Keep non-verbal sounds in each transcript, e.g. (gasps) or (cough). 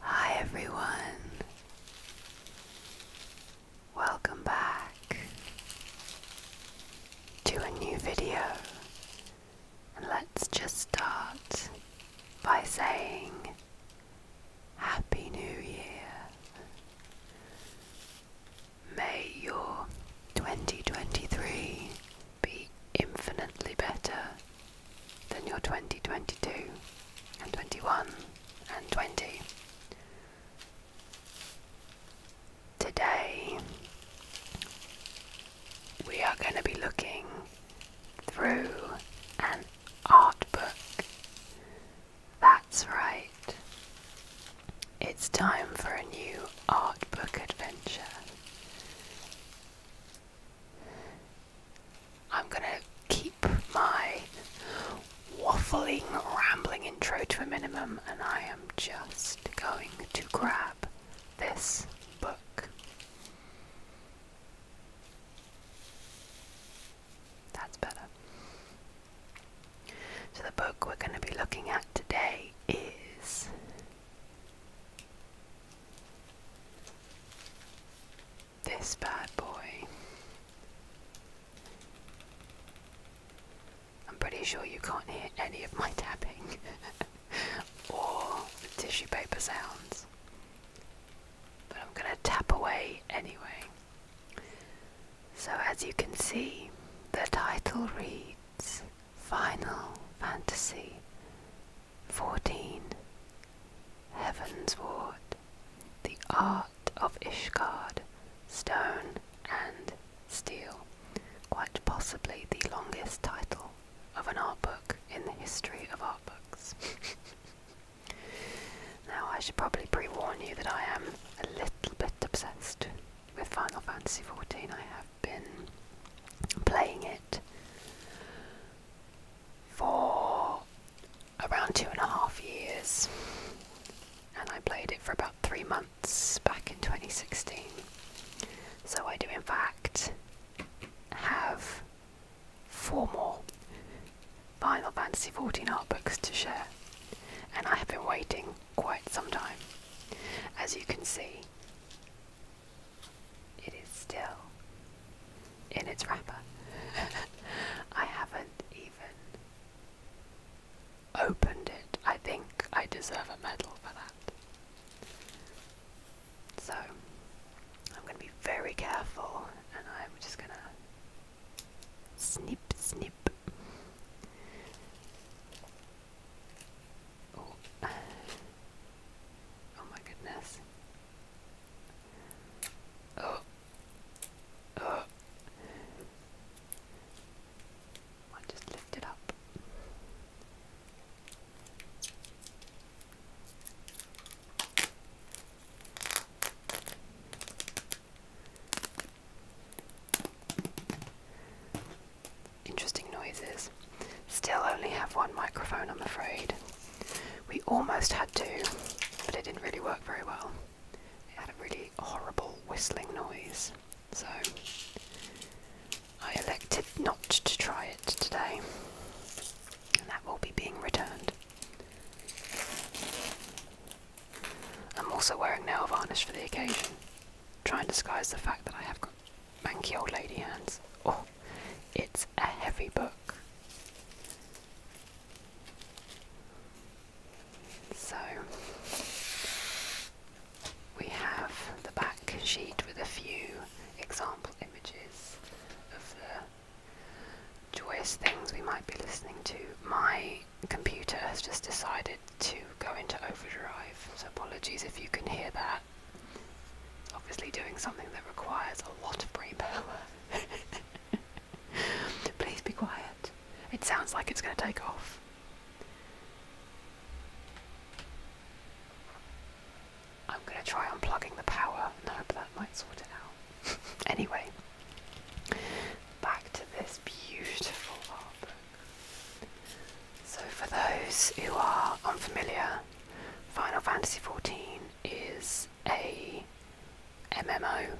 Hi everyone. Welcome back to a new video. And let's just start by saying Happy New Year. May your 2023 be infinitely better than your 2022 and 21 and 20. Today, we are going to be looking through an art book that that's right. It's time for a new art book adventure. I'm going to keep my waffling, rambling intro to a minimum, and I am just going to grab this book. That's better. So, the book we're going to be looking at today is this bad boy. I'm pretty sure you can't hear any of my tapping (laughs) or tissue paper sounds, but I'm going to tap away anyway. So as you can see, the title reads Final Fantasy Fourteen: Heaven's Ward The Art of Ishgard, Stone and Steel, quite possibly the longest title of an art book in the history of art books. (laughs) now I should probably pre-warn you that I am a little bit obsessed with Final Fantasy XIV. I have been playing it for around two and a half years, and I played it for about three months back in 2016. So I do, in fact, have four more Final Fantasy XIV art books to share, and I have been waiting quite some time. As you can see, it is still in its wrapper. (laughs) I haven't even opened it. I think I deserve a medal for that. So, I'm going to be very careful and I'm just going to snip, snip. Oh. oh. my goodness. Oh. Oh. I just lift it up. Interesting noises. Still only have one microphone, I'm afraid. We almost had two, but it didn't really work very well. It had a really horrible whistling noise, so I elected not to try it today, and that will be being returned. I'm also wearing nail varnish for the occasion. trying to disguise the fact that I have got manky old lady hands. Oh, it's a heavy book. So, we have the back sheet with a few example images of the joyous things we might be listening to. My computer has just decided to go into overdrive, so apologies if you can hear that. Obviously, doing something that requires a lot of brain power. (laughs) Please be quiet. It sounds like it's going to take off. I'm going to try unplugging the power and hope that might sort it out. (laughs) anyway, back to this beautiful harbour. So, for those who are unfamiliar, Final Fantasy XIV is a MMO,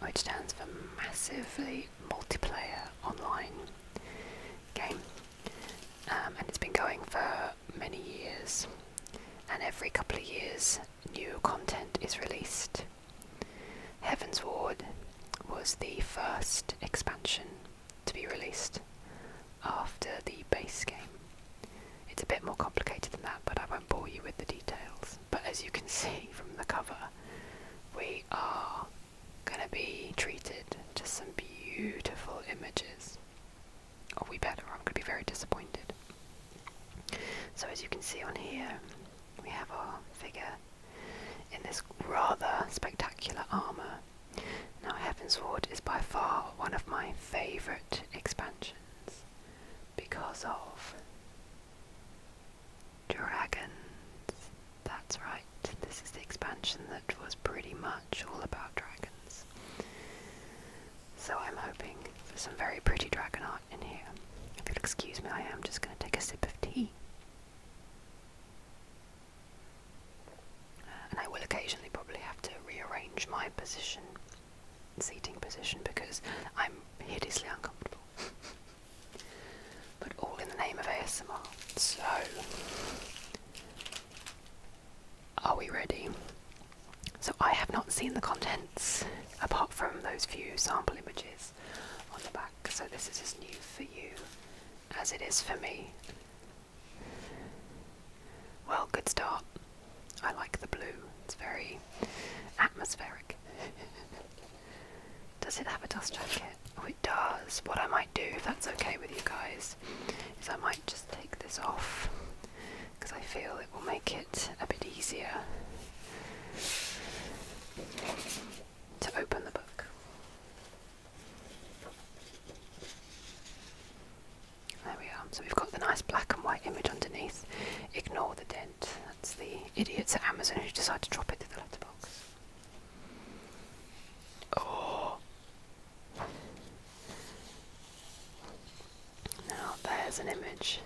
which stands for Massively Multiplayer Online game, um, and it's been going for many years. And every couple of years, new content is released. Heaven's Ward was the first expansion to be released after the base game. It's a bit more complicated than that, but I won't bore you with the details. But as you can (laughs) see from the cover, we are going to be treated to some beautiful images. Or we better, or I'm going to be very disappointed. So, as you can see on here, we have our figure in this rather spectacular armour. Now, Heaven's Ward is by far one of my favourite expansions because of dragons. That's right, this is the expansion that was pretty much all about dragons. So, I'm hoping for some very pretty dragon art in here. If you'll excuse me, I am just going to take a sip of tea. And I will occasionally probably have to rearrange my position, seating position, because I'm hideously uncomfortable. (laughs) but all in the name of ASMR. So, are we ready? So, I have not seen the contents apart from those few sample images on the back. So this is as new for you as it is for me. Well, good start. I like the blue. It's very atmospheric. (laughs) does it have a dust jacket? Oh, it does. What I might do, if that's okay with you guys, is I might just take this off because I feel it will make it a bit easier to open the book. There we are. So we've got the nice black and white image underneath. Ignore the dent. That's the idiots at Amazon who decide to drop it through the letterbox. Oh! Now there's an image.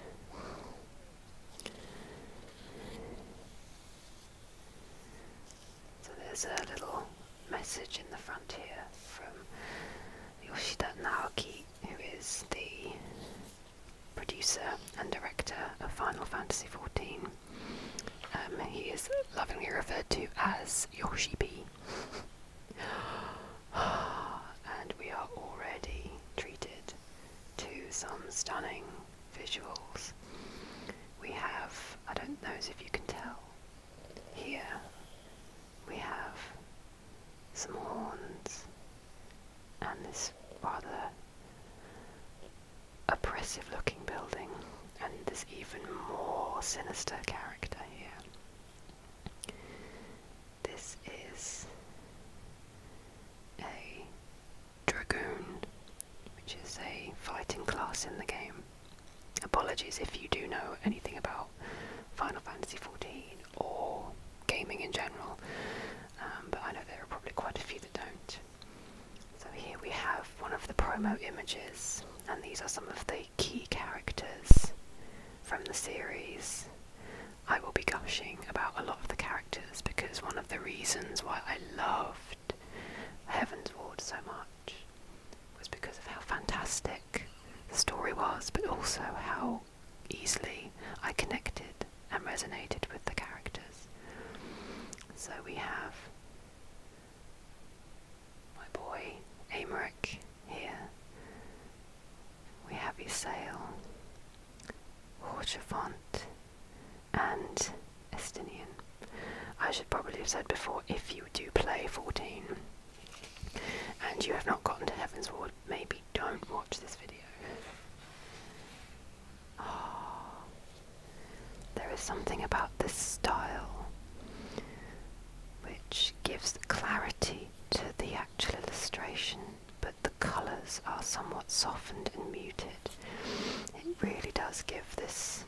So there's a little message in the front here from Yoshida Naoki, who is the producer and director of Final Fantasy XIV. Um, he is lovingly referred to as Yoshi B. (gasps) and we are already treated to some stunning visuals. We have, I don't know if you can tell, here we have some horns and this rather oppressive looking building and this even more sinister character here. This is a dragoon, which is a fighting class in the game. Apologies if you do know anything about Final Fantasy XIV or gaming in general, um, but I know there are probably quite a few that don't. So here we have one of the promo images, and these are some of the key characters from the series. I will be gushing about a lot of the characters because one of the reasons why I loved Heaven's Ward so much was because of how fantastic the story was, but also how easily I connected and resonated with the characters. So we have my boy Amaric here. We have Isail, Horchafont, and Estonian. I should probably have said before if you do play 14 and you have not gotten to Heaven's Ward, maybe don't watch this video. Oh, there is something about this style which gives clarity to the actual illustration, but the colours are somewhat softened and muted. It really does give this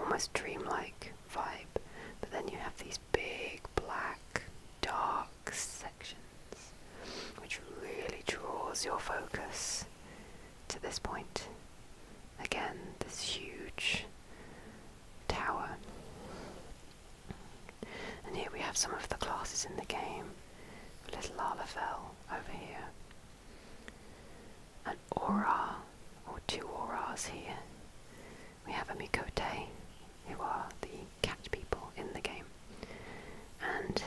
almost dreamlike vibe, but then you have these big black, dark sections, which really draws your focus to this point. Again, this huge tower. And here we have some of the classes in the game. Little Lalafell over here. An aura, or two auras here. We have a Mikote, who are the cat people in the game, and,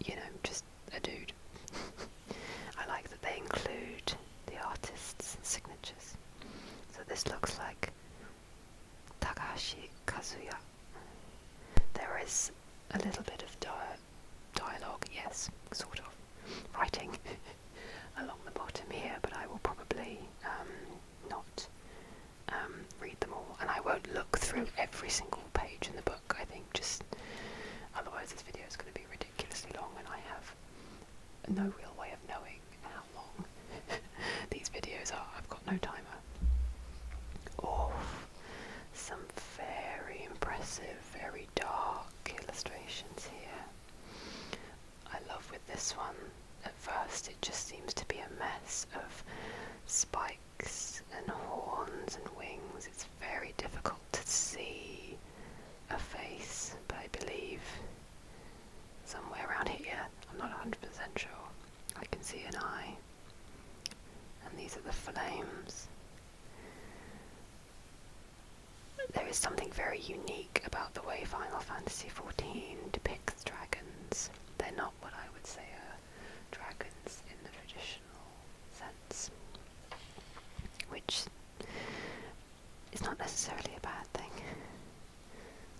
you know, just a dude. (laughs) I like that they include the artist's signatures. So this looks like Takashi Kazuya there is a little bit of dialogue, yes, sort of, writing (laughs) along the bottom here, but I will probably um, not um, read them all, and I won't look through every single page in the book, I think, just otherwise this video is going to be ridiculously long, and I have no real way of knowing how long (laughs) these videos are. I've got no timer. Oh, some very impressive, very dark illustrations here. I love with this one, at first it just seems to be a mess of spikes and horns and wings. It's very difficult to see a face, but I believe somewhere around here, I'm not 100% sure, I can see an eye and these are the flames. There is something very unique about the way Final Fantasy XIV depicts dragons. They're not what I would say are dragons in the traditional sense, which is not necessarily a bad thing.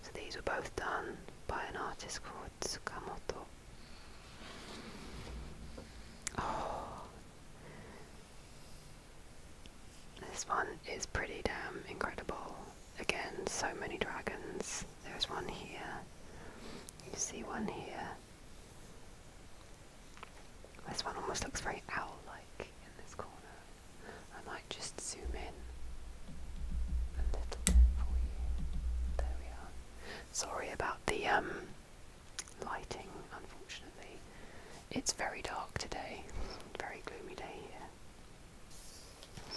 So these were both done by an artist called Tsukamoto Oh. This one is pretty damn incredible. Again, so many dragons. There's one here. You see one here. This one almost looks very owl-like in this corner. I might just zoom in a little for you. There we are. Sorry about the um lighting, unfortunately. It's very dark today, very gloomy day here.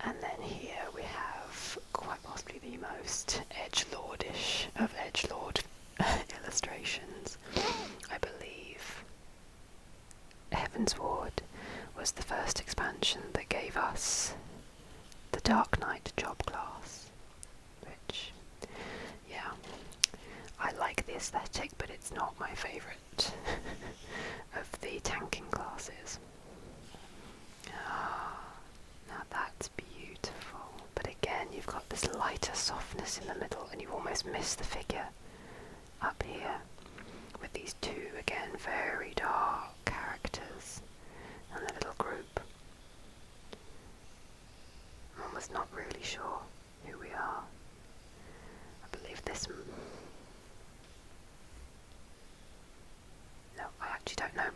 And then here we have quite possibly the most edgelordish of edgelord (laughs) illustrations. I believe Heaven's Ward was the first expansion that gave us the Dark Knight job class, which, yeah, I like the aesthetic, but it's not my favourite (laughs) of the tanking classes. Ah, now that's beautiful, but again, you've got this lighter softness in the middle, and you almost miss the figure up here with these two, again, very dark characters and the little group. One was not really sure who we are. I believe this. No, I actually don't know.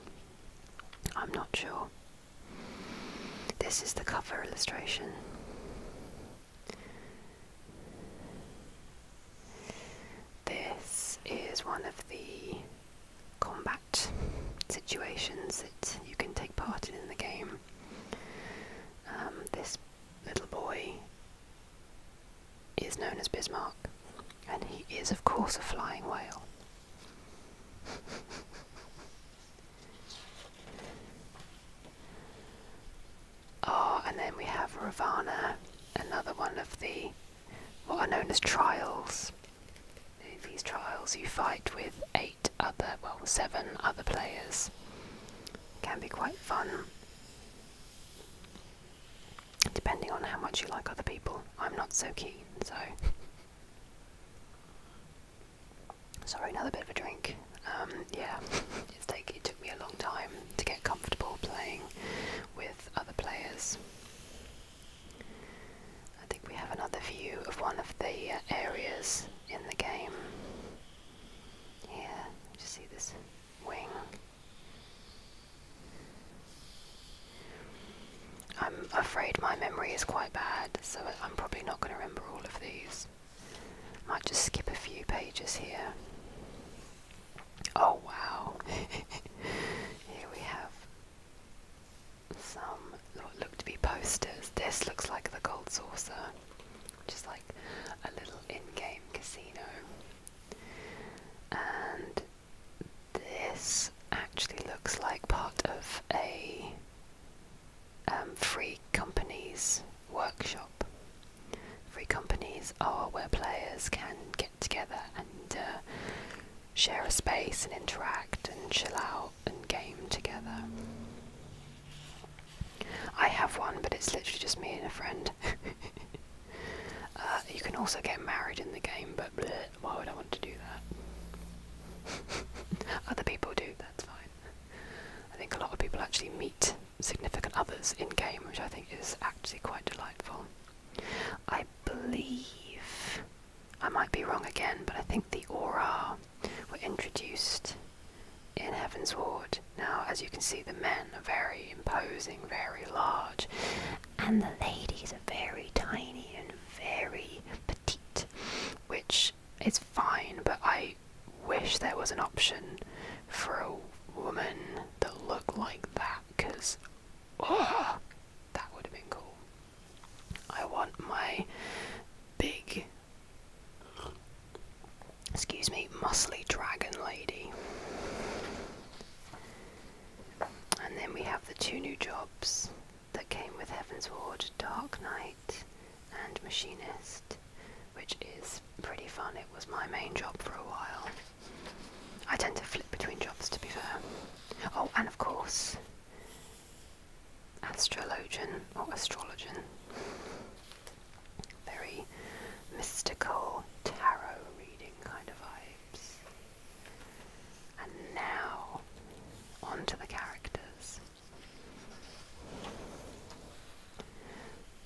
I'm not sure. This is the cover illustration. This is one of the combat situations that you can take part in in the game. Um, this little boy is known as Bismarck, and he is, of course, a flying whale. (laughs) oh, and then we have Ravana, another one of the what are known as trials. these trials, you fight with eight other, well, seven other players. Can be quite fun, depending on how much you like other people. I'm not so keen, so. Sorry, another bit of a drink. Um, yeah, it took me a long time to get comfortable playing with other players. I think we have another view of one of the uh, areas in the game. Here, you see this wing. I'm afraid my memory is quite bad, so I'm probably not going to remember all of these. Might just skip a few pages here. Oh wow! (laughs) Here we have some what look to be posters. This looks like the Gold Saucer, which like a little in-game casino. And this actually looks like part of a um, free companies workshop. Free companies are where players can get together and uh, share a space and interact and chill out and game together. I have one, but it's literally just me and a friend. (laughs) Uh, you can also get married in the game, but why would I want to do that? (laughs) Other people do, that's fine. I think a lot of people actually meet significant others in game, which I think is actually quite delightful. I believe, I might be wrong again, but I think the Aura were introduced in Heaven's Ward. Now, as you can see, the men are very imposing, very large, and the ladies are very tiny and very petite, which is fine, but I wish there was an option for a woman that looked like that because Oh, that would have been cool. I want my big, excuse me, muscly dragon lady. And then we have the two new jobs that came with Heaven's Ward Dark Knight and Machinist, which is pretty fun. It was my main job for a while. I tend to flip between jobs to be fair. Oh, and of course, astrologian or astrologian. Very mystical tarot reading kind of vibes. And now, onto the characters.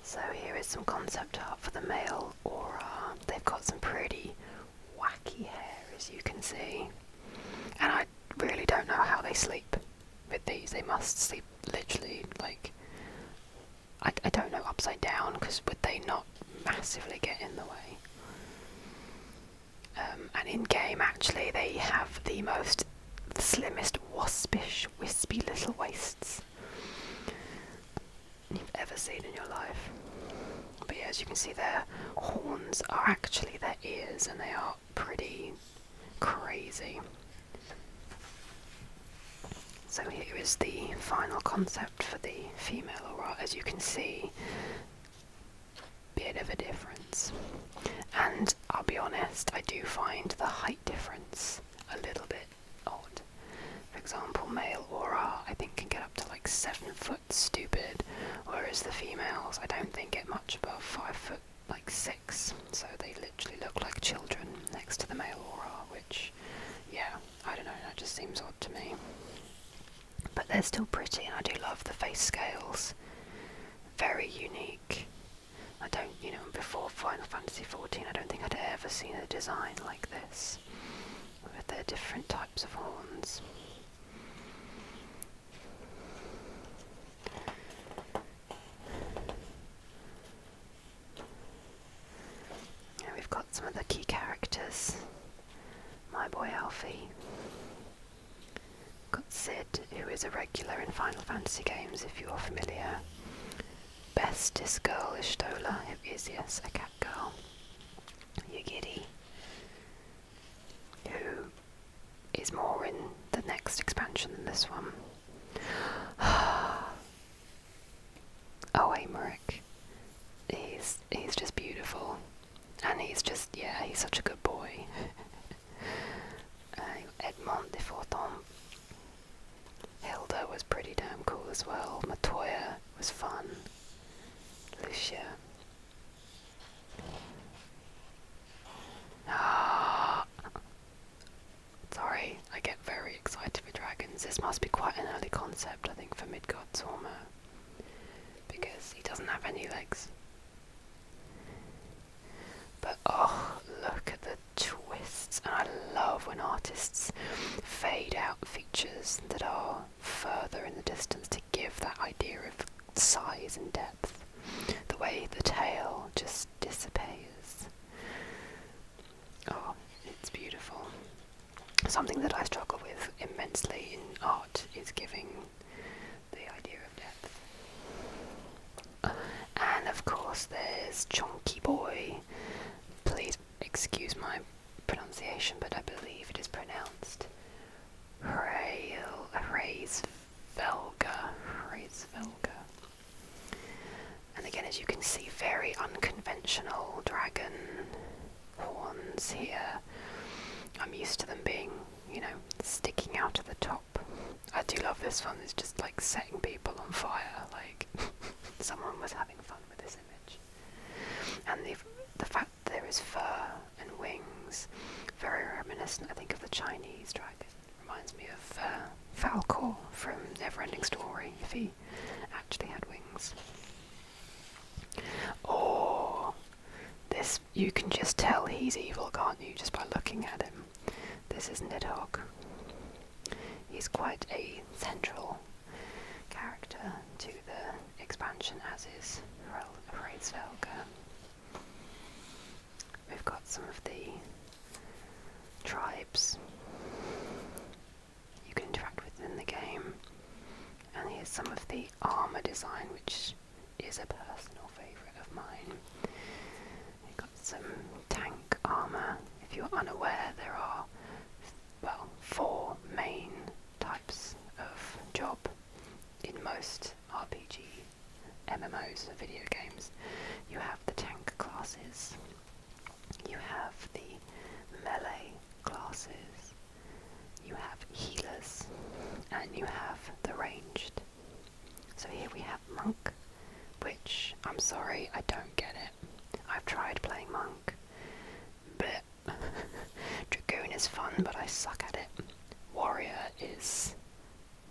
So, here is some concept art for the male aura. They've got some pretty wacky hair as you can see. And I really don't know how they sleep with these. They must sleep literally like I, I don't know upside down because would they not massively get in the way? Um, and in game, actually, they have the most the slimmest waspish, wispy little waists you've ever seen in your life. But as you can see, their horns are actually their ears, and they are pretty crazy. So here is the final concept for the female aura. As you can see, bit of a difference. And I'll be honest, I do find the height difference a little bit odd. For example, male aura I think can get up to like seven foot stupid, whereas the females I don't think get much above five foot like six, so they literally look like children next to the male aura, which yeah, I don't know, that just seems odd to me. But they're still pretty and I do love the face scales. Very unique. I don't, you know, before Final Fantasy XIV, I don't think I'd ever seen a design like this with their different types of horns. And we've got some of the key characters. My boy Alfie. got Sid, who is a regular in Final Fantasy games if you are familiar. Bestest girl is Stola, who is, a cat girl. You giddy. who is more in the next expansion than this one. (sighs) oh, Amaric. He's, he's just beautiful. And he's just, yeah, he's such a good boy. uh, (laughs) Edmond de Forton. Hilda was pretty damn cool as well. Matoya was fun. Lucia. Ah. Sorry, I get very excited with dragons. This must be quite an early concept, I think, for Midgard's Hormer. Because he doesn't have any legs. But oh, look at the twists. And I love when artists fade out that are further in the distance to give that idea of size and depth. The way the tail just disappears. Oh, it's beautiful. Something that I struggle with immensely in art is giving the idea of depth. And of course, there's Chunky Boy. Please excuse my pronunciation, but I believe it is pronounced Hreisvelga. Hreisvelga. And again, as you can see, very unconventional dragon horns here. I'm used to them being, you know, sticking out of the top. I do love this one, it's just like setting people on fire, like (laughs) someone was having fun with this image. And the, fact that there is fur and wings, very reminiscent, I think, of the Chinese dragon. Reminds me of uh, Falcor from Neverending Story, if he actually had wings. Or this, you can just tell he's evil, can't you, just by looking at him? This is Nidhogg. He's quite a central character to the expansion as is for Reidsvelka. We've got some of the tribes you can interact with in the game. And here's some of the armour design, which is a personal favourite of mine. We've got some tank armour. If you're unaware, there are well, four main types of job in most RPG MMOs and video games. You have the tank classes, you have the melee classes, you have healers, and you have the ranged. So here we have monk, which I'm sorry, I don't get it. I've tried playing Monk. But (laughs) Dragoon is fun, but I suck at it. Warrior is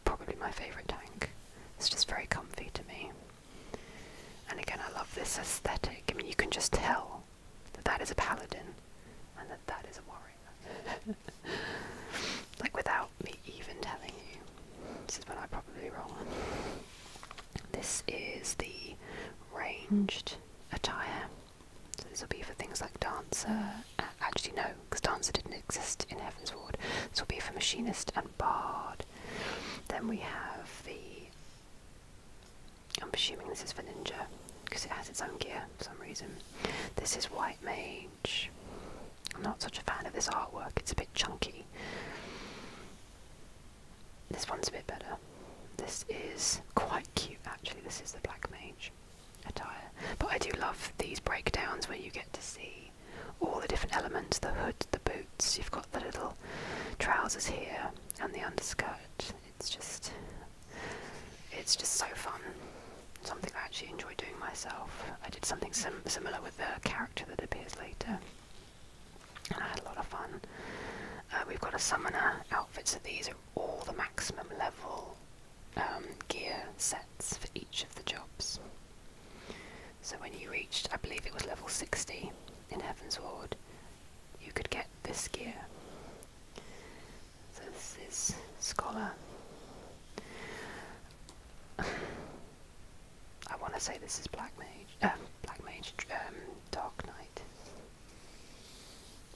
probably my favourite tank. It's just very comfy to me. And again, I love this aesthetic. I mean, you can just tell that that is a paladin and that that is a warrior. (laughs) like, without me even telling you. This is when i probably roll wrong. This is the ranged attire. So this will be for things like dancer. Uh, actually, no, because dancer didn't exist in Heaven's Ward. This will be for machinist and bard. Then we have the. I'm assuming this is for ninja because it has its own gear for some reason. This is white mage. I'm not such a fan of this artwork. It's a bit chunky. This one's a bit better. This is quite cute actually. This is the Black Mage attire. But I do love these breakdowns where you get to see all the different elements the hood, the boots, you've got the little trousers here, and the underskirt. It's just. It's just so fun. Something I actually enjoy doing myself. I did something sim similar with the character that appears later. I had a lot of fun. Uh, we've got a summoner outfit, so these are all the maximum level um, gear sets for each of the jobs. So when you reached, I believe it was level 60 in Heaven's Ward, you could get this gear. So this is Scholar. (sighs) I want to say this is Black Mage, uh, Black Mage, um, Dark Knight.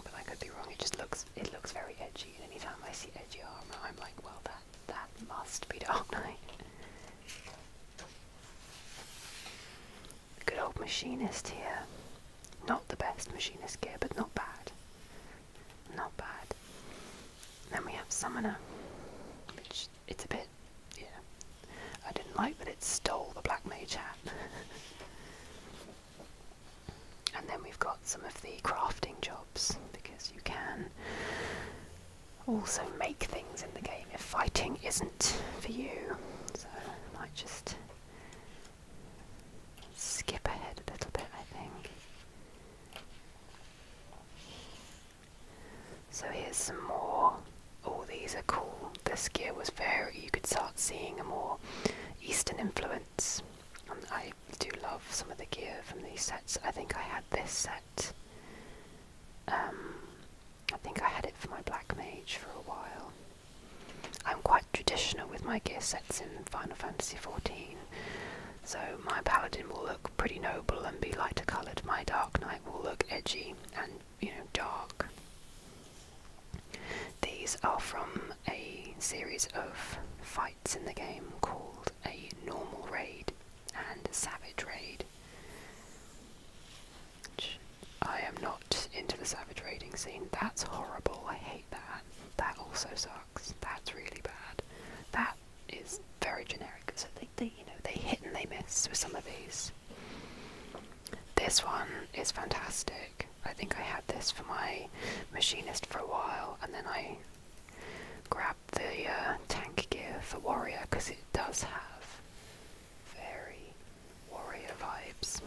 But I could be wrong. It just looks it looks very edgy. And anytime I see edgy armor, I'm like, well, that that must be Dark (laughs) Knight. Good old machinist here. Not the best machinist gear, but not bad. Not bad. Then we have Summoner, which it's a bit, yeah, I didn't like that it stole the black mage hat. (laughs) and then we've got some of the crafting jobs because you can also make things in the game if fighting isn't for you. So I might just skip ahead a little bit, I think. So here's some more. All oh, these are cool. This gear was very, you could start seeing a more Eastern influence. I do love some of the gear from these sets. I think I had this set. Um, I think I had it for my Black Mage for a while. I'm quite traditional with my gear sets in Final Fantasy XIV. So my paladin will look pretty noble and be lighter coloured, my dark knight will look edgy and you know, dark. These are from a series of fights in the game called a normal raid and a savage raid. I am not into the savage raiding scene. That's horrible. I hate that. That also sucks. That's really bad. That is very generic. So they, they you know, they hit and they miss with some of these. This one is fantastic. I think I had this for my machinist for a while, and then I grabbed the uh, tank gear for warrior because it does have very warrior vibes.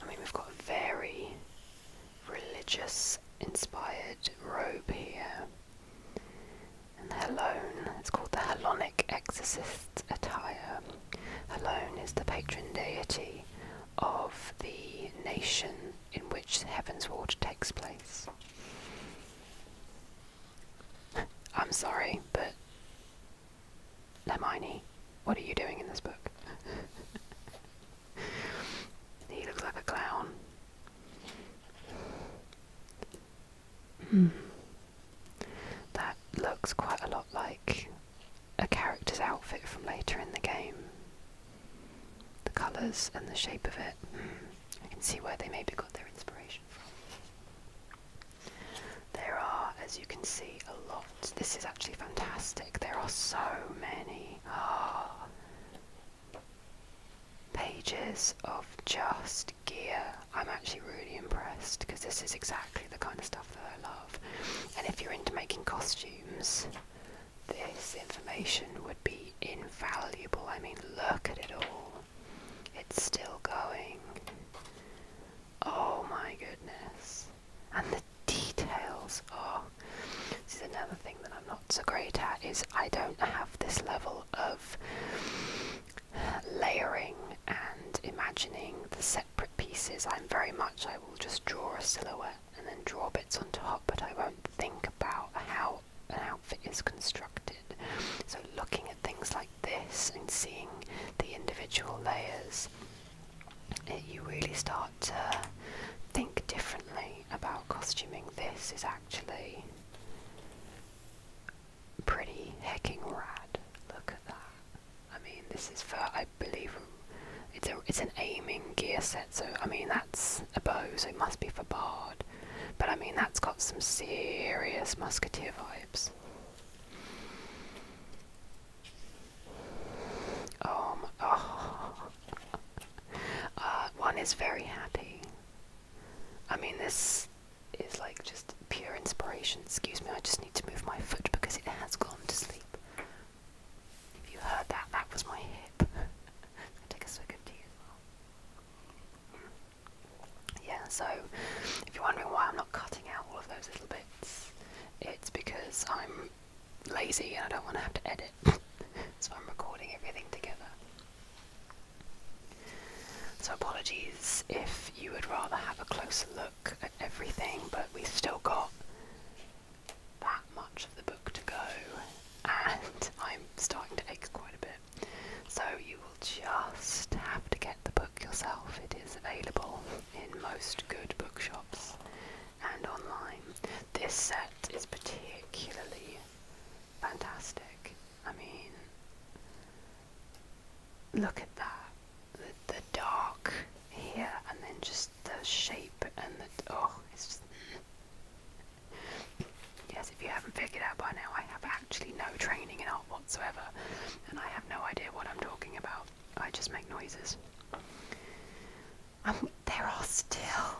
I mean, we've got very religious inspired robe here. And the Helone, it's called the Hellenic Exorcist attire. Helone is the patron deity of the nation in which Heaven's Ward takes place. (laughs) I'm sorry, but Hermione, what are you doing in this book? (laughs) he looks like a clown. Hmm. That looks quite a lot like a character's outfit from later in the game. The colours and the shape of it. Hmm. I can see where they maybe got their inspiration from. There are, as you can see, a lot. This is actually fantastic. There are so many. Ah, pages of just gear. I'm actually really impressed because this is exactly the kind of stuff that I love. And if you're into making costumes, this information would be invaluable. I mean, look at it all. It's still going. Oh my goodness. And the details. are. This is another thing that I'm not so great at is I don't have this level of layering and imagining the separate pieces. I'm very much I will just draw a silhouette and then draw bits on top, but I won't think about how an outfit is constructed. So looking at things like this and seeing the individual layers, you really start to think differently about costuming, this is actually pretty hecking rad. Look at that. I mean, this is for, I believe, it's, a, it's an aiming gear set, so I mean, that's a bow, so it must be for Bard. But I mean, that's got some serious musketeer vibes. Um, (laughs) oh, uh, one is very happy. I mean, this is like just pure inspiration. Excuse me, I just need to move my foot because it has gone to sleep. If you heard that, that was my hip. (laughs) take a swig Yeah, so if you're wondering why I'm not cutting out all of those little bits, it's because I'm lazy and I don't want to have to edit so I'm recording everything together. So apologies if you would rather have a closer look at everything, but we've still got that much of the book to go, and (laughs) I'm starting to take quite a bit. So you will just have to get the book yourself. It is available in most good bookshops and online this set is particularly fantastic. I mean, look at that. The, the dark here and then just the shape and the, oh, it's just, yes, if you haven't figured out by now, I have actually no training in art whatsoever, and I have no idea what I'm talking about. I just make noises there are still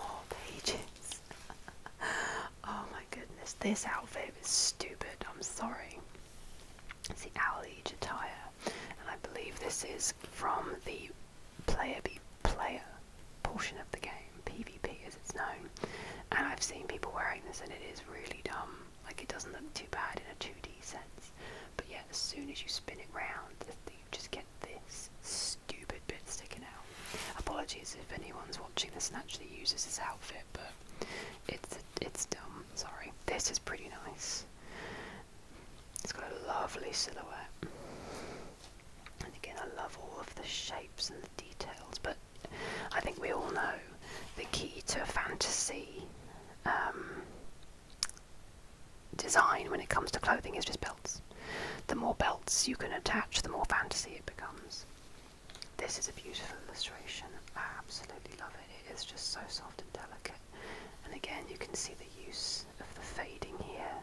more pages. (laughs) oh my goodness, this outfit is stupid. I'm sorry. It's the Owl Age attire, and I believe this is from the player be player portion of the game, PvP as it's known. And I've seen people wearing this, and it is really dumb. Like it doesn't look too bad in a 2D sense, but yeah, as soon as you spin it round, just get this stupid bit sticking out. Apologies if anyone's watching this and actually uses this outfit, but it's it's dumb. Sorry. This is pretty nice. It's got a lovely silhouette. And again, I love all of the shapes and the details, but I think we all know the key to fantasy um, design when it comes to clothing is just belts. The more belts you can attach, the more fantasy it becomes. This is a beautiful illustration. I absolutely love it. It is just so soft and delicate. And again, you can see the use of the fading here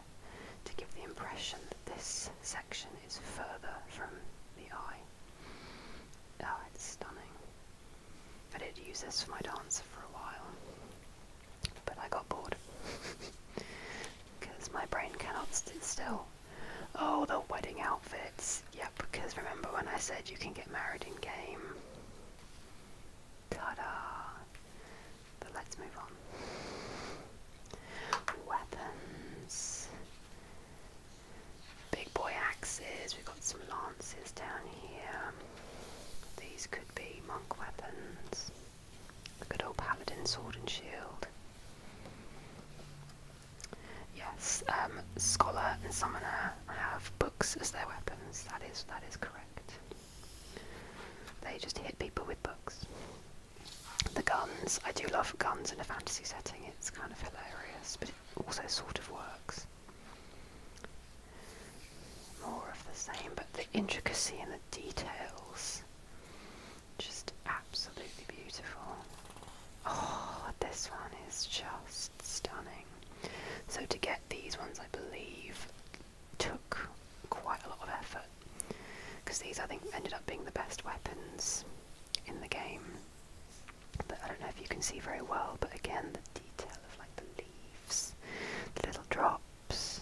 to give the impression that this section is further from the eye. Oh, it's stunning. I did use this for my dancer for a while. But I got bored. Because (laughs) my brain cannot sit still. Oh, the wedding outfits. Yep, because remember when I said you can get married in game? Ta da! But let's move on. Weapons. Big boy axes. We've got some lances down here. These could be monk weapons good old paladin sword and shield. Yes, um, scholar and summoner have books as their weapons. That is that is correct. They just hit people with books. The guns. I do love guns in a fantasy setting. It's kind of hilarious, but it also sort of works more of the same, but the intricacy and the details just absolutely beautiful. Oh, this one is just stunning. So, to get these ones, I believe, took quite a lot of effort because these, I think, ended up being the best weapons in the game. But I don't know if you can see very well, but again, the detail of like the leaves, the little drops,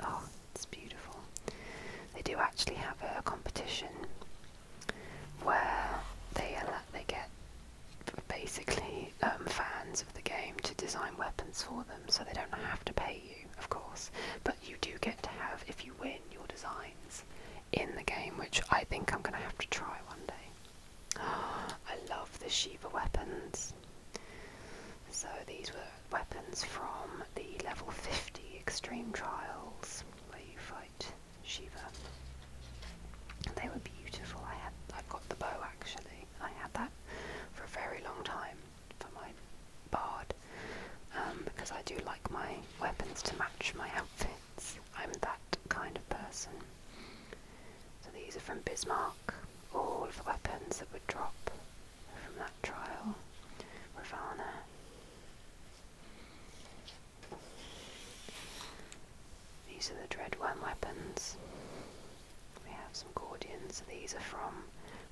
Oh, it's beautiful. They do actually have a competition where they they get basically um, fans of the game to design weapons for them, so they don't have to pay you, of course. But you do get to have, if you win, your designs in the game, which I think I'm going to have to try one day. (gasps) I love the Shiva weapons. So these were weapons from the level 50 extreme trials where you fight Shiva. They were beautiful. I had I've got the bow actually. I had that for a very long time for my bard um, because I do like my weapons to match my outfits. I'm that kind of person. So these are from Bismarck all the weapons that would drop from that trial. Ravana. These are the Dread One weapons. We have some Gordians. These are from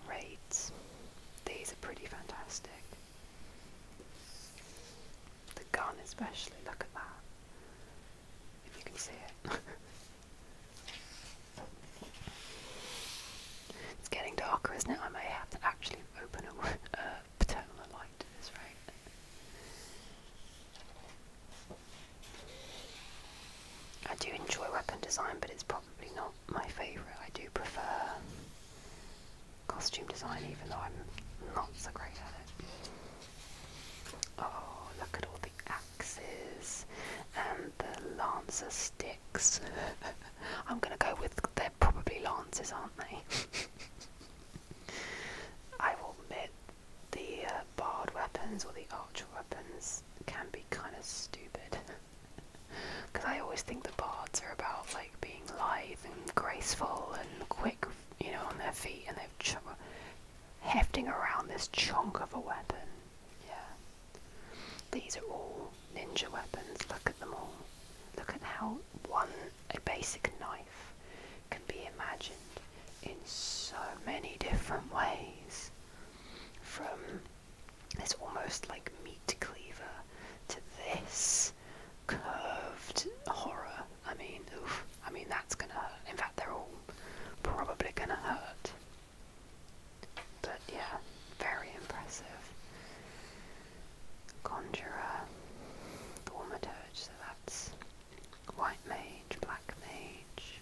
raids. These are pretty fantastic. The gun especially, look at that. If you can see it. (laughs) It's getting darker, isn't it? I may have to actually open a turn on the light this, right? I do enjoy weapon design, but it's probably not my favourite. I do prefer costume design, even though I'm not so great at it. Oh, look at all axes and the lancer sticks. (laughs) I'm gonna go with they're probably lances, aren't they? (laughs) I will admit the uh, barred weapons or the archer weapons can be kind of stupid because (laughs) I always think the bards are about like being lithe and graceful and quick, you know, on their feet, and they've hefting around this chunk of a weapon. Yeah. These are all ninja weapons. Look at them all. Look at how one, a basic knife, can be imagined in so many different ways. From this almost like meat cleaver to this curved horror. I mean, I mean, that's gonna In fact, they're all probably gonna hurt. But yeah, very impressive. Conjurer, Thaumaturge, so that's White Mage, Black Mage.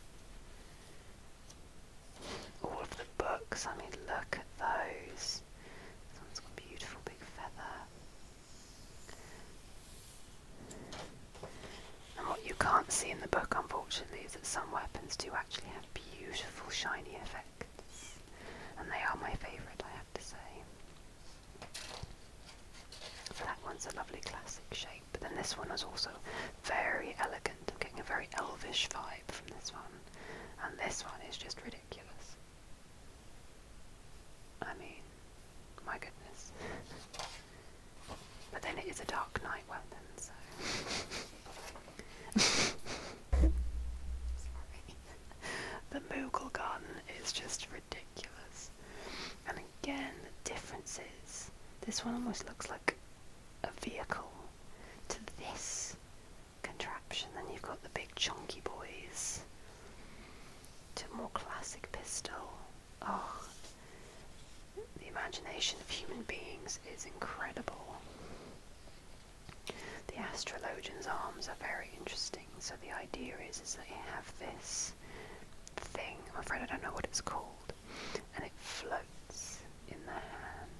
All of the books, I mean, look at those. This one's got beautiful big feather. And what you can't see in the book, unfortunately, is that some weapons do actually have beautiful shiny effects, and they are my favourite, I have to say. that one's a lovely classic shape, but then this one is also very elegant. looking a very elvish vibe from this one, and this one is just ridiculous. I mean, my goodness. (laughs) But then it is a dark night Well then, so. (laughs) the Mughal garden is just ridiculous. And again, the differences. This one almost looks like a vehicle to this contraption. Then you've got the big chunky boys to more classic pistol. Oh, the imagination of human beings is incredible. The astrologian's arms are very interesting. So the idea is, is that you have this thing. I'm afraid I don't know what it's called, and it floats in the hand,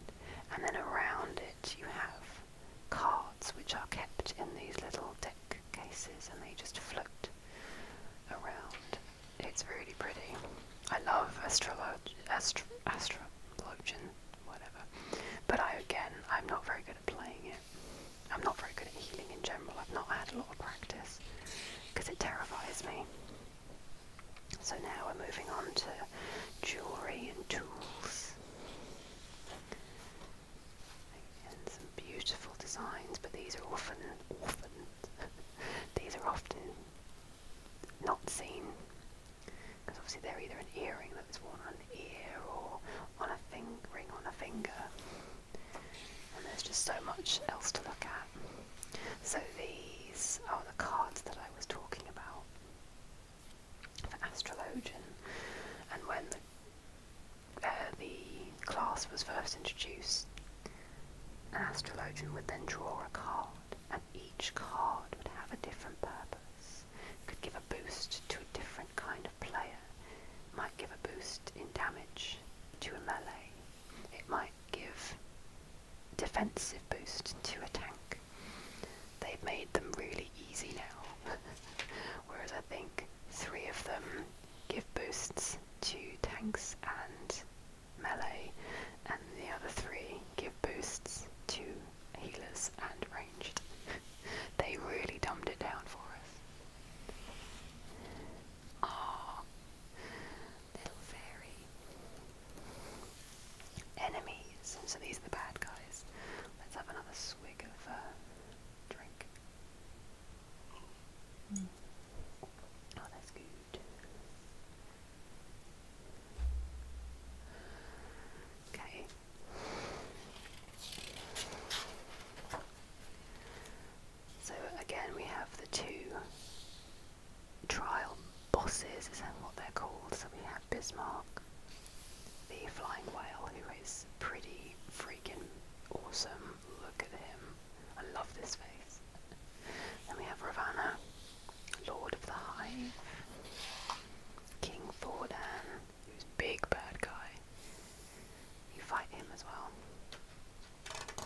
and then around it you have cards which are kept in these little deck cases, and they just float around it's really pretty. I love astrolog astro astrologian, whatever. But I again, I'm not very good at playing it. I'm not very good at healing in general. I've not had a lot of practice because it terrifies me. So now we're moving on to jewelry and tools. and some beautiful designs, but these are often, often, (laughs) these are often not seen. Because obviously they're either an earring that's worn on an ear or on a thing, ring on a finger. And there's just so much else to look at. So these are the cards that I was talking about for Astrologian. And when the uh, class was first introduced, an astrologian would then draw a card and each card would have a different purpose. Could give a boost to a different kind of player. Might give a boost in damage to a melee. It might give defensive boost to a tank. They've made them really easy now. (laughs) Whereas I think three of them give boosts to tanks and melee, and the other three give boosts to healers and ranged. (laughs) they really dumbed it down for us. Ah, little fairy. Enemies. So these are the bad guys. Let's have another swig of uh, drink. Hmm. Oh, that's good. Okay. So again, we have the two trial bosses, is that what they're called? So we have Bismarck, the flying whale, who is pretty freaking awesome. Look at him. I love this face. Then we have Ravana, Lord of the Hive, King Thordan, who's big bad guy. You fight him as well.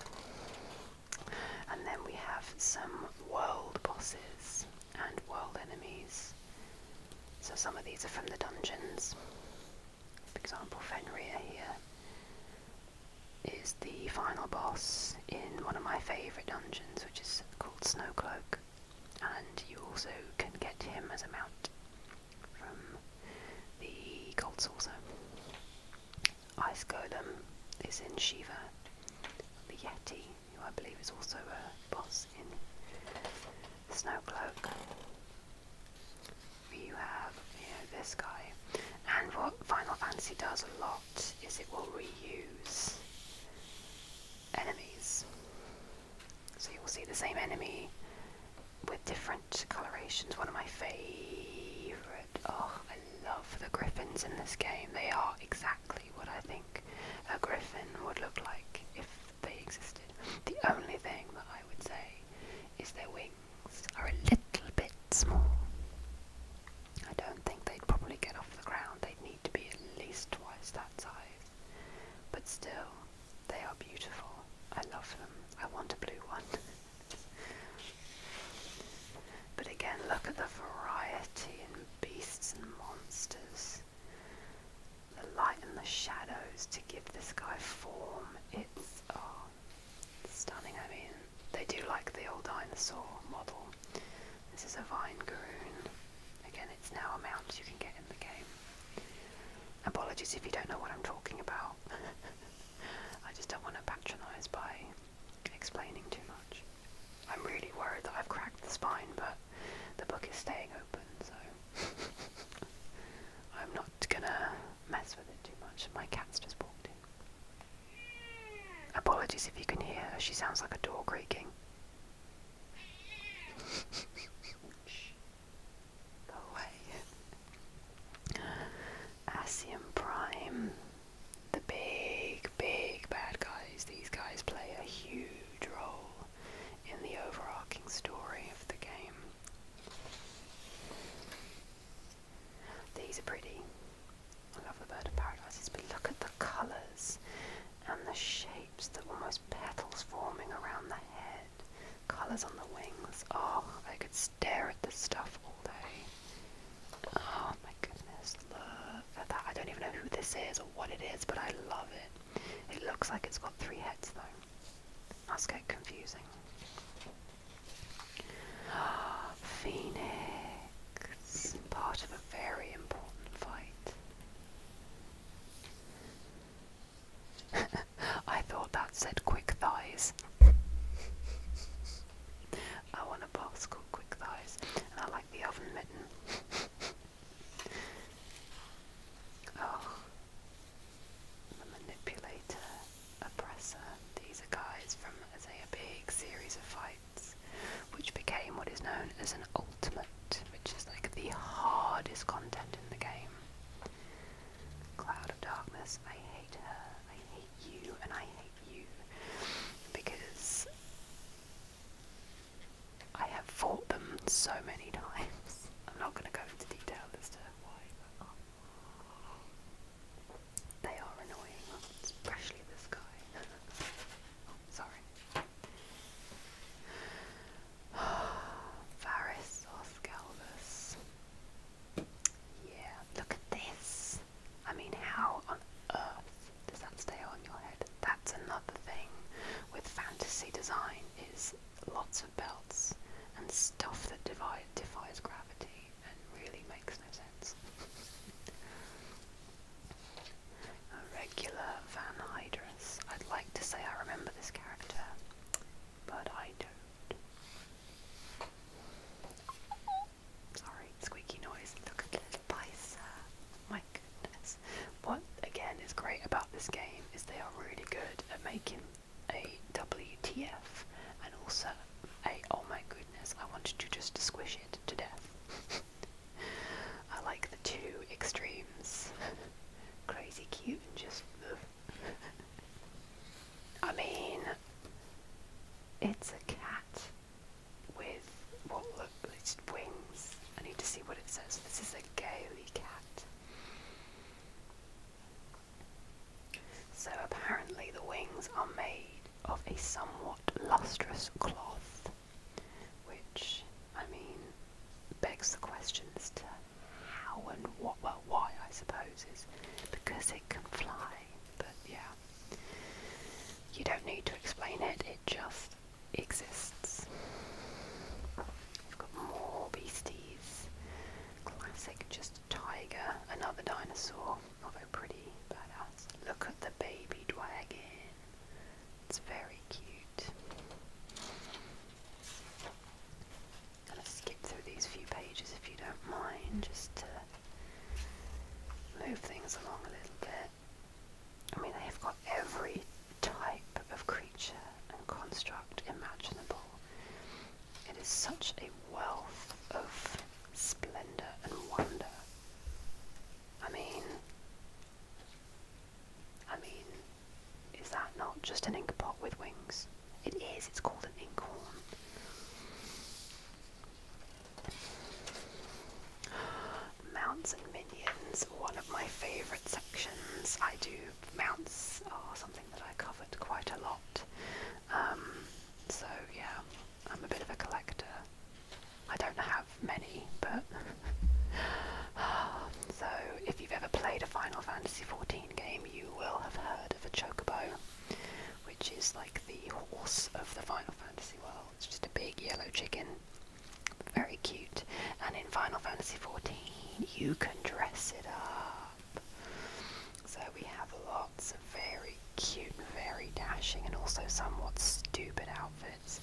And then we have some world bosses and world enemies. So some of these are from the dungeons. For example, Fenrir here is the final boss in one of my favourite dungeons, which is called Snowcloak, and you also can get him as a mount from the Gold Saucer. Ice Golem is in Shiva, the Yeti, who I believe is also a boss in Snowcloak. You have this guy, and what Final Fantasy does a lot is it will reuse enemies. So you will see the same enemy with different colorations. One of my favourite. Oh, I love the griffins in this game. They are exactly what I think a griffin would look like if they existed. The only thing that I would say is their wings are a little bit small. I don't think they'd probably get off the ground. They'd need to be at least twice that size. But still, they are beautiful. I love them. I want a blue one. (laughs) but again, look at the variety in beasts and monsters. The light and the shadows to give this guy form. It's oh, Stunning, I mean. They do like the old dinosaur model. This is a vine garoon. Again, it's now a mount you can get in the game. Apologies if you don't know what I'm talking about. (laughs) I just don't want to patronise by explaining too much. I'm really worried that I've cracked the spine, but the book is staying open, so (laughs) I'm not gonna mess with it too much. My cat's just walked in. Apologies if you can hear her, she sounds like a door creaking. Shh. Go away. Prime. The big, big bad guys. These guys play a huge role in the overarching story of the game. These are pretty. I love the bird of paradises, but look at the colours and the shapes, the almost petals forming around the head, colours on the wings. Oh, I could stare at this stuff all day. Oh my goodness, love that. I don't even know who this is or what it is, but I love it. It looks like it's got three heads though. Must get confusing. Phoenix, part of a very important fight. (laughs) I thought that said quick thighs. I want a box called Quick Thighs, and I like the oven mitten. (laughs) oh, the manipulator, oppressor. These are guys from, say, a big series of fights which became what is known as an ultimate, which is like the hardest content in the game. Cloud of Darkness, I hate her, I hate you, and I hate you because I have fought them so many (laughs) times. I'm not going to go into detail as to why, but. Um, they are annoying, especially this guy. (laughs) sorry. (sighs) Varys or Yeah, look at this. I mean, how on earth does that stay on your head? That's another thing with fantasy design is lots of belts and stuff that defies gravity and really makes no sense. (laughs) A regular Van I'd like to say I remember this character, but I don't. Sorry, squeaky noise. Look at little Pisa. My goodness. What again is great about this game is they are really good at making a WTF and also oh my goodness, I wanted to just squish it to death. (laughs) I like the two extremes. (laughs) Crazy cute and just. (laughs) I mean, it's a cat with what look, wings. I need to see what it says. This is a gaily cat. So apparently the wings are made of a somewhat lustrous cloth, which, I mean, begs the question as to how and what, well, why I suppose is because it can fly, but yeah, you don't need to explain it, it just exists. We've got more beasties, classic just tiger, another dinosaur. Not pretty, badass. Uh, look at the baby dragon. It's very cute. gonna skip through these few pages if you don't mind, just to move things along a little bit. I mean, they've got every type of creature and construct imaginable. It is such a wealth of splendor, and wonder. I mean, I mean, is that not just an inkpot with wings? It is, it's called an inkhorn. Mounts and minions, one of my favourite sections. I do, mounts are something that I covered quite a lot. Um, so, yeah. I'm a bit of a collector. I don't have many, but (sighs) so if you've ever played a Final Fantasy XIV game, you will have heard of a chocobo, which is like the horse of the Final Fantasy world. It's just a big yellow chicken, very cute. And in Final Fantasy XIV, you can dress it up. So we have lots of very cute, very dashing, and also somewhat stupid outfits.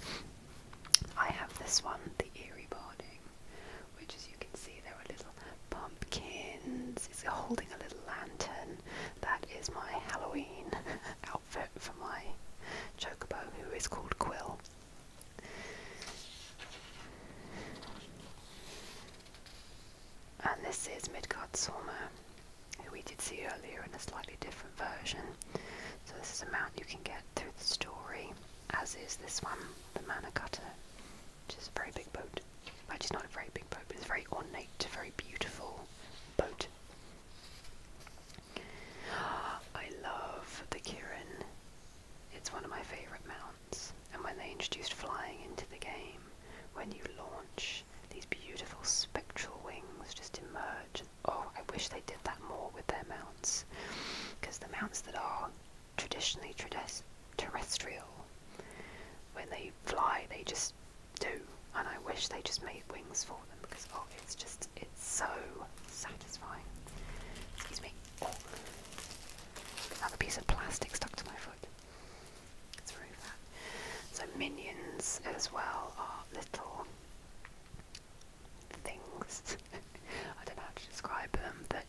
I have this one, the Eerie Barding, which as you can see there are little pumpkins. It's holding a little lantern. That is my Halloween (laughs) outfit for my chocobo, who is called Quill. And this is Midgard Sorma we did see earlier in a slightly different version. So this is a mount you can get through the story, as is this one, the Mana Cutter, which is a very big boat. Actually, it's not a very big boat, but it's a very ornate, very beautiful boat. (gasps) I love the Kirin. It's one of my favourite mounts. And when they introduced flying into the game, when you launch these beautiful spectral wings just emerge. Oh, I wish they did that more with their mounts, because the mounts that are traditionally terrestrial, when they fly, they just do. And I wish they just made wings for them because oh, it's just it's so satisfying. Excuse me. Another piece of plastic stuck to my foot. So minions as well are little things. (laughs) I don't know how to describe them, but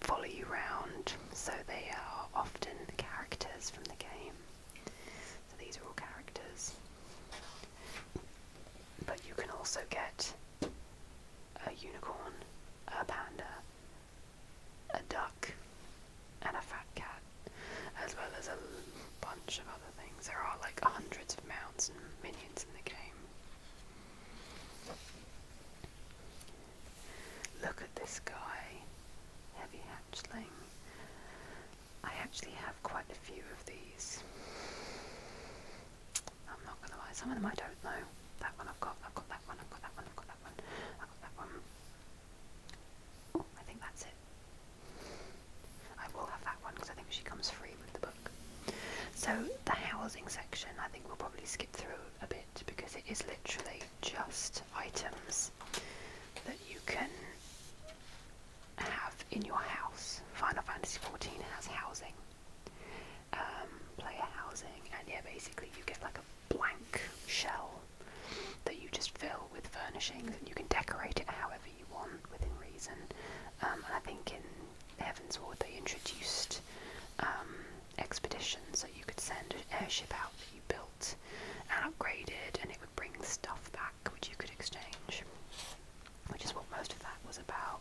follow you round. So they are often characters from the game. So these are all characters. But you can also get a unicorn, a panda, a duck, and a fat cat, as well as a bunch of other things. There are like hundreds of mounts and minions in the game. Look at this guy, Heavy Hatchling. I actually have quite a few of these. I'm not gonna lie, some of them I don't know. That one I've got, I've got that one, I've got that one, I've got that one, I've got that one. I think that's it. I will have that one because I think she comes free with the book. So the housing section, I think we'll probably skip through a bit because it is literally just items that you can have in your house. Final Fantasy XIV has housing, um, player housing, and yeah, basically you get like a blank shell that you just fill with furnishings and you can decorate it however you want within reason. Um, and I think in Heaven's Ward they introduced um, expeditions that you could send an airship out that you built and upgraded and it would bring stuff back which you could exchange which is what most of that was about.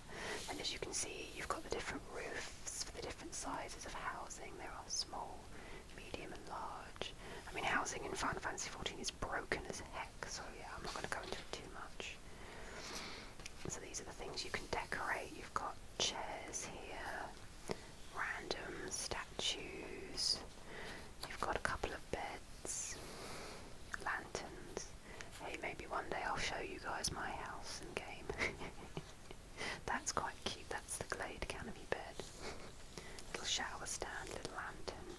And as you can see, you've got the different roofs for the different sizes of housing. There are small, medium and large. I mean, housing in Final Fantasy XIV is broken as heck, so yeah, I'm not going to go into it too much. So these are the things you can decorate. You've got chairs here, random statues. You've got a couple of beds, lanterns. Hey, maybe one day I'll show you guys my house and game. (laughs) That's quite cute. That's the Glade Canopy bed little shower stand, little lantern.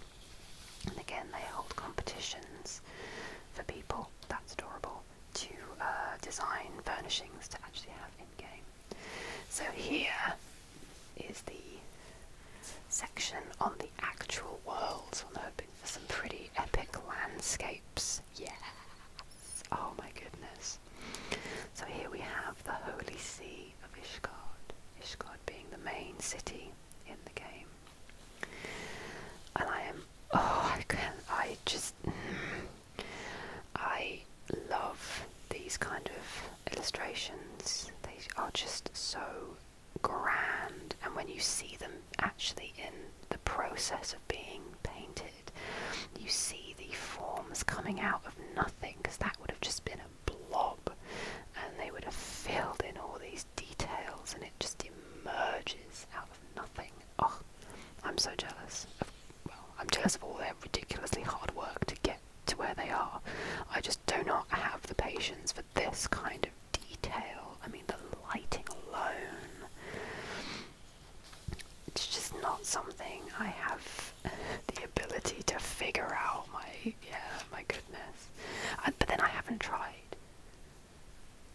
And again, they hold competitions for people, that's adorable, to uh, design furnishings to actually have in game. So here is the section on the actual world. I'm hoping for some pretty epic landscapes. Yes! Oh my goodness. So here we have the holy see of Ishgard, Ishgard being the main city in the game. And I am, oh, I can, I just, I love these kind of illustrations. They are just so grand, and when you see them actually in the process of being painted, you see the forms coming out of nothing because that would have just been blob and they would have filled in all these details and it just emerges out of nothing. Oh, I'm so jealous. well, I'm jealous of all their ridiculously hard work to get to where they are. I just do not have the patience for this kind of detail. I mean, the lighting alone. It's just not something I have the ability to figure out my yeah my goodness. but then I haven't tried.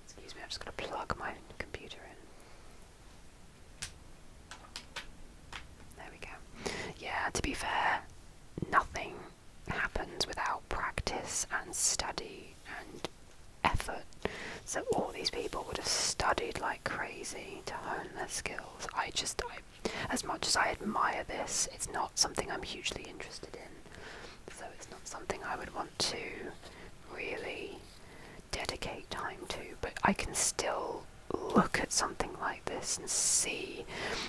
Excuse me, I'm just gonna plug my computer in. There we go. Yeah, to be fair, nothing happens without practice and study and effort. So all these people would have studied like crazy to hone their skills. I just I as much as I admire this, it's not something I'm hugely interested in, so it's not something I would want to really dedicate time to, but I can still look at something like this and see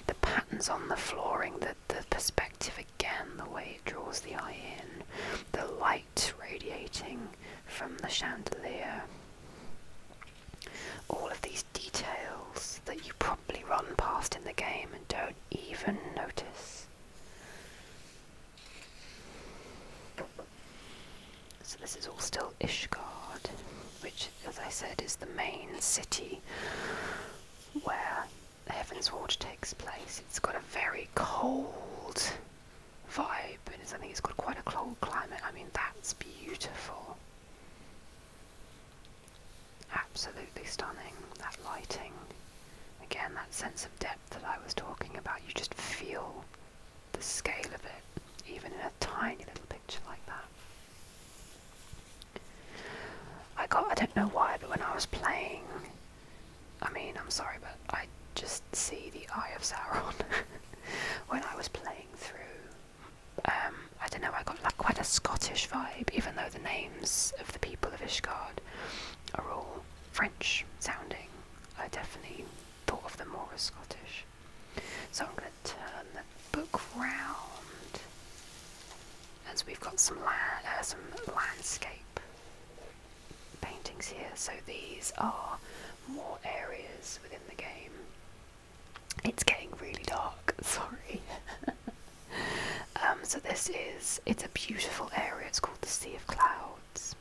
the patterns on the flooring, the, the perspective again, the way it draws the eye in, the light radiating from the chandelier. All of these details that you probably run past in the game and don't even notice. So this is all still Ishgard, which, as I said, is the main city where Heaven's Watch takes place. It's got a very cold vibe, and I think it's got quite a cold climate. I mean, that's beautiful. Absolutely stunning, that lighting. Again, that sense of depth that I was talking about. You just feel the scale of it, even in a tiny little picture like that. I got, I don't know why, but when I was playing, I mean, I'm sorry, but I just see the Eye of Sauron. (laughs) when I was playing through um, I don't know, I got like quite a Scottish vibe, even though the names of the people of Ishgard are all French sounding. I definitely thought of them more as Scottish. So I'm going to turn the book round as we've got some, la uh, some landscape paintings here. So these are more areas within the game. It's getting really dark, (laughs) sorry. (laughs) Um, so this is, it's a beautiful area, it's called the Sea of Clouds.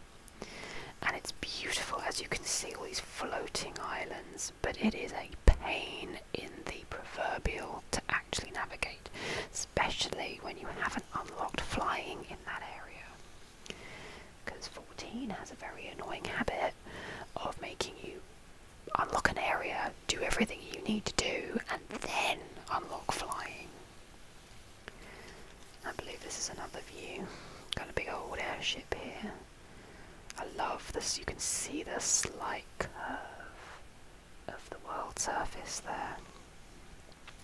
And it's beautiful as you can see all these floating islands, but it is a pain in the proverbial to actually navigate, especially when you haven't unlocked flying in that area because 14 has a very annoying habit of making you unlock an area, do everything you need to do, and then unlock flying. I believe this is another view. Got a big old airship here. I love this, you can see the slight curve of the world surface there.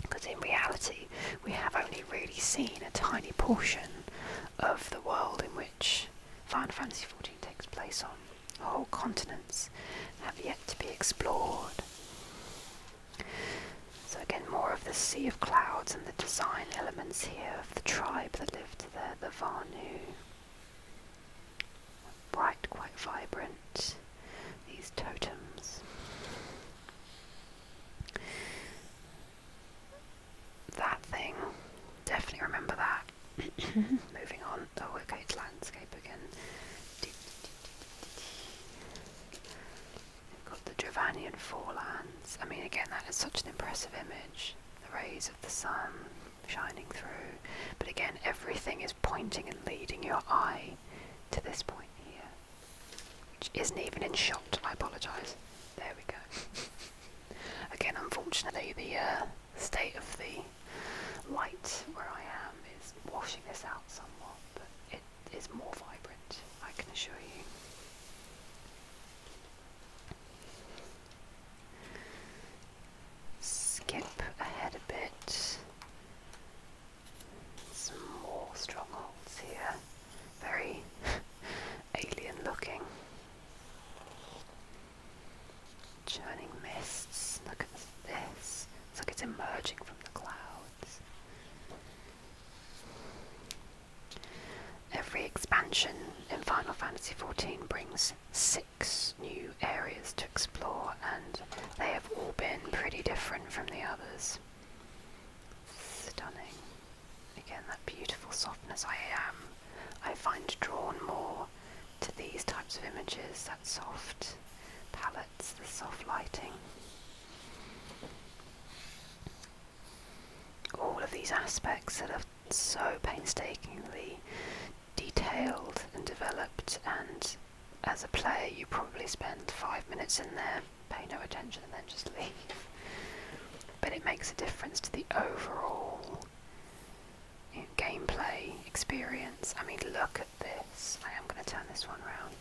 Because in reality, we have only really seen a tiny portion of the world in which Final Fantasy XIV takes place on. Whole continents have yet to be explored. So again, more of the sea of clouds and the design elements here of the tribe that lived there, the Vanu. Bright, quite vibrant, these totems that thing. Definitely remember that. (laughs) Moving on. Oh, okay, will landscape again. got the Dravanian forelands. I mean, again, that is such an impressive image. The rays of the sun shining through. But again, everything is pointing and leading your eye to this point here, which isn't even in shot. I apologise. There we go. Again, unfortunately, the uh, state of the light where I am is washing this out somewhat, but it is more vibrant, I can assure you. Skip ahead a bit. Some more strongholds here very (laughs) alien looking. Churning mists, look at this. It's like it's emerging from the clouds. Every expansion in Final Fantasy XIV brings six new areas to explore, and they have all been pretty different from the others. Stunning. Again, that beautiful softness. I am, um, I find drawn more to these types of images, that soft palettes, the soft lighting. All of these aspects that are so painstakingly detailed and developed, and as a player, you probably spend five minutes in there, pay no attention, and then just (laughs) leave but it makes a difference to the overall gameplay experience. I mean, look at this. I am going to turn this one around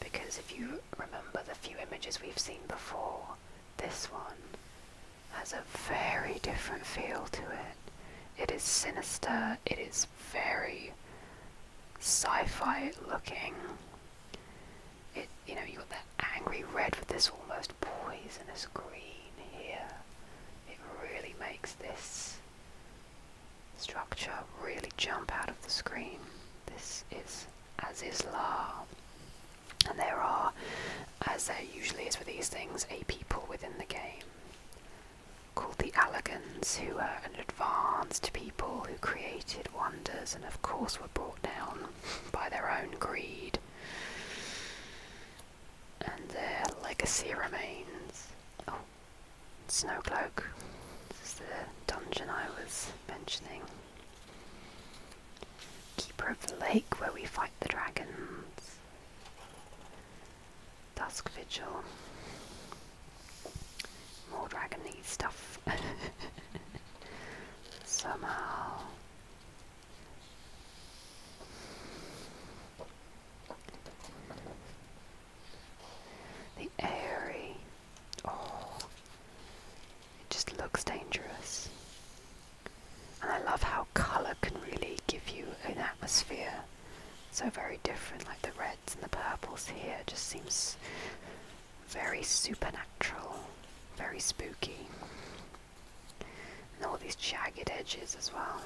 because if you remember the few images we've seen before, this one has a very different feel to it. It is sinister, it is very sci fi looking it you know you got that angry red with this almost poisonous green here. It really makes this structure really jump out of the screen. This is as is La. And there are, as there usually is with these things, a people within the game called the Allegans, who are an advanced people who created wonders and, of course, were brought down by their own greed and their legacy remains. Oh, Snowcloak. This is the dungeon I was mentioning. Keeper of the Lake, where we fight the dragons. Dusk Vigil. More dragony stuff. (laughs) Somehow. The airy. Oh, it just looks dangerous. And I love how colour can really give you an atmosphere so very different, like the reds and the purples here just seems very supernatural, very spooky. And all these jagged edges as well.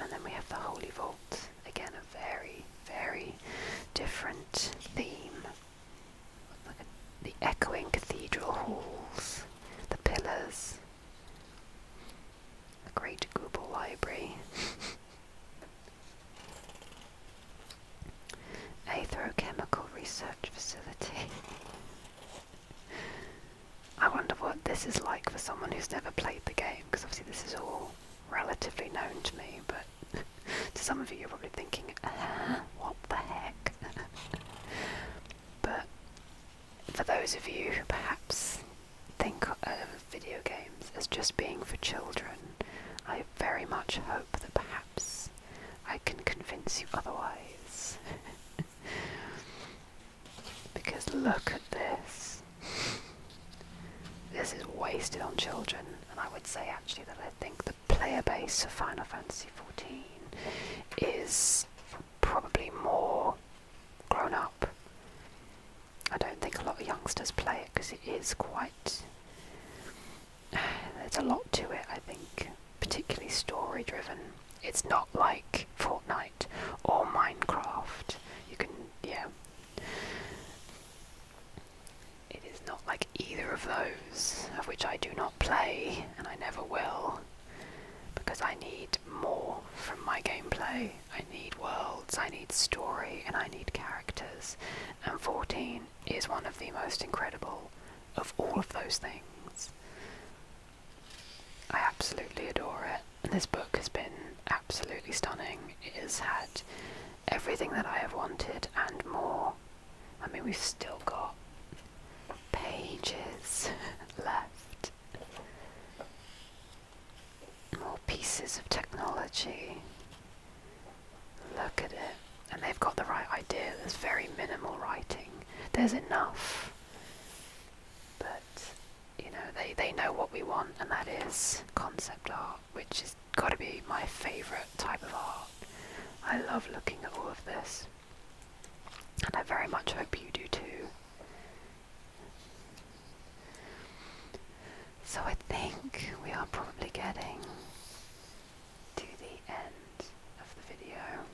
And then we have the Holy Vault. Again, a very, very different theme. the echoing cathedral halls, the pillars, the great Google library. (laughs) Atherochemical Research Facility. (laughs) I wonder what this is like for someone who's never played the game, because obviously this is all relatively known to me, but (laughs) to some of you you're probably thinking, uh-huh, what the heck? (laughs) but for those of you who perhaps think of video games as just being for children, I very much hope that perhaps I can convince you otherwise. (laughs) because look at this. This is wasted on children, and I would say actually that I think the player base of Final Fantasy XIV is probably more grown up. I don't think a lot of youngsters play it because it is quite (sighs) There's a lot to it, I think, particularly story driven. It's not like Fortnite or Minecraft. You can, yeah. It is not like either of those, of which I do not play, and I never will, because I need more from my gameplay. I need worlds, I need story, and I need characters and 14 is one of the most incredible of all of those things. I absolutely adore it, and this book has been absolutely stunning. It has had everything that I have wanted and more. I mean, we've still got pages (laughs) left more pieces of technology. Look at it. And they've got the right idea. There's very minimal writing. There's enough. But, you know, they, they know what we want, and that is concept art, which has got to be my favourite type of art. I love looking at all of this. And I very much hope you do too. So I think we are probably getting to the end of the video.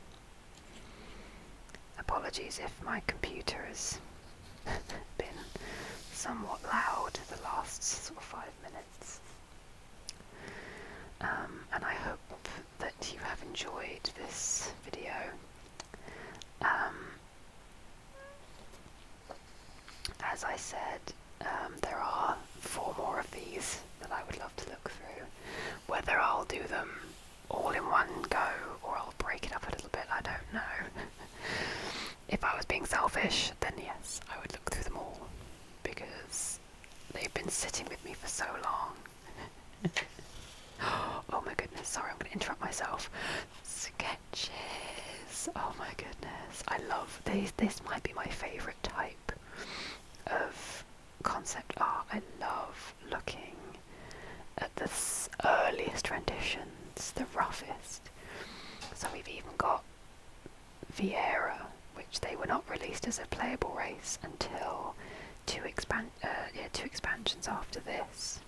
Apologies if my computer has (laughs) been somewhat loud the last sort of five minutes. Um, and I hope that you have enjoyed this video. Um, as I said, um, there are four more of these that I would love to look through. Whether I'll do them all in one go or I'll break it up a little bit, I don't know. (laughs) if I was being selfish, then yes, I would look through them all because they've been sitting with me for so long. (laughs) oh my goodness, sorry, I'm going to interrupt myself sketches. Oh my goodness, I love these. This might be my favourite type of concept art. I love looking at the earliest renditions, the roughest. So we've even got Vieira, which they were not released as a playable race until two, expan uh, yeah, two expansions after this,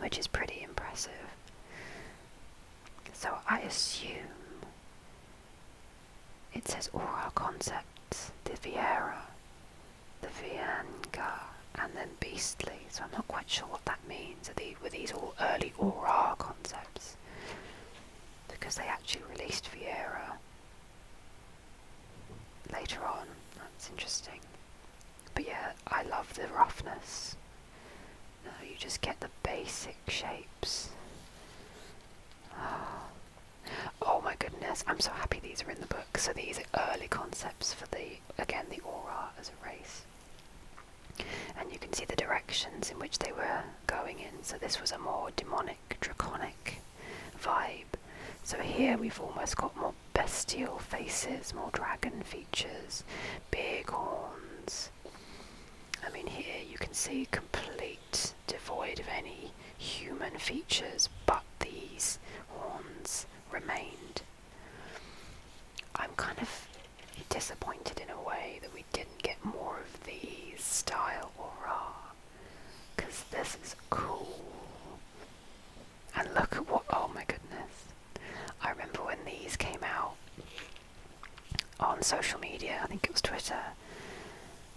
which is pretty impressive. So I assume it says oral concepts, the Viera, the Vienga, and then Beastly. So I'm not quite sure what that means. Are these, were these all early oral concepts? Because they actually released Viera later on. That's interesting. But yeah, I love the roughness no, you just get the basic shapes. Oh. my goodness, I'm so happy these are in the book. So these are early concepts for the, again, the aura as a race. And you can see the directions in which they were going in. So this was a more demonic, draconic vibe. So here we've almost got more bestial faces, more dragon features, big horns, I mean, here you can see complete devoid of any human features, but these horns remained. I'm kind of disappointed in a way that we didn't get more of these style aura, because this is cool. And look at what, oh my goodness. I remember when these came out, on social media. I think it was Twitter,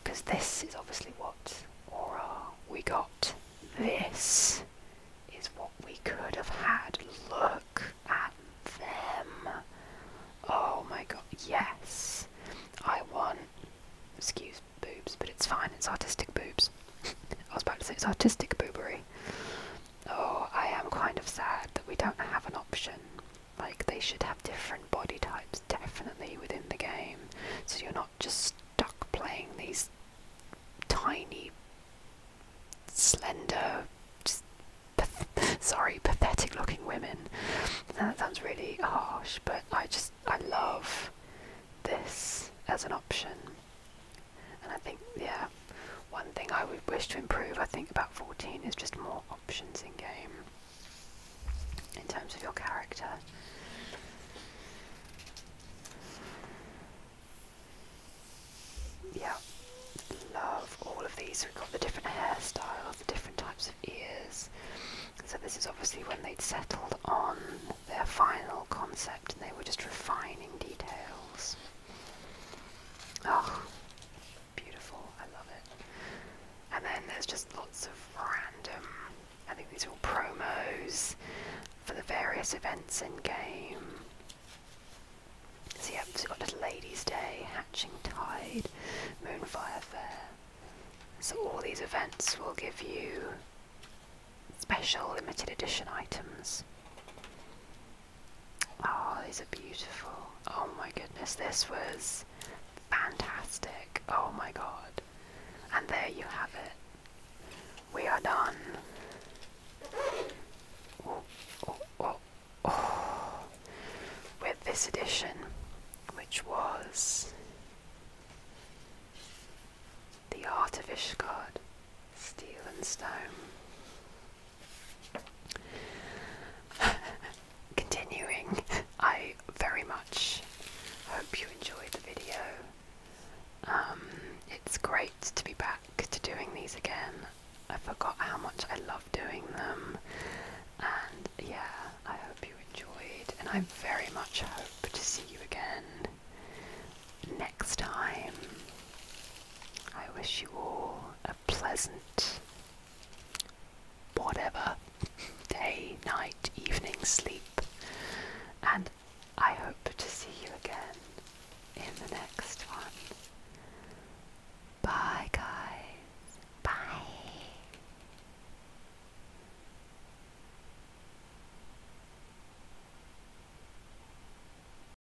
because this is obviously what aura we got. This is what we could have had. Look at them. Oh my god, yes. I won. excuse boobs, but it's fine, it's artistic boobs. (laughs) I was about to say it's artistic boobery oh, I am kind of sad that we don't have an option. Like, they should have different body types definitely within the game, so you're not just stuck playing these tiny, slender, just (laughs) sorry, pathetic looking women. Now that sounds really harsh, but I just, I love this as an option and I think yeah, one thing I would wish to improve I think about 14 is just more options in game in terms of your character. Yeah, love all of these. We've got the different hairstyles, the different types of ears. So this is obviously when they'd settled on their final concept and they were just refining details. Oh, beautiful. I love it. And then there's just lots of random, I think these are all promos for the various events in game. So, you've got Little Ladies' Day, Hatching Tide, Moonfire Fair. So, all these events will give you special limited edition items. Oh, these are beautiful. Oh my goodness, this was fantastic. Oh my god. And there you have it. We are done. Oh, oh, oh, With this edition, which was the Art of Ishgard, Steel and Stone. (laughs) Continuing, I very much hope you enjoyed the video. Um, it's great to be back to doing these again. I forgot how much I love doing them, and yeah, I hope you enjoyed. And I very much hope to see you again next time. I wish you all a pleasant, whatever, day, night, evening, sleep, and I hope to see you again in the next one. Bye, guys. Bye.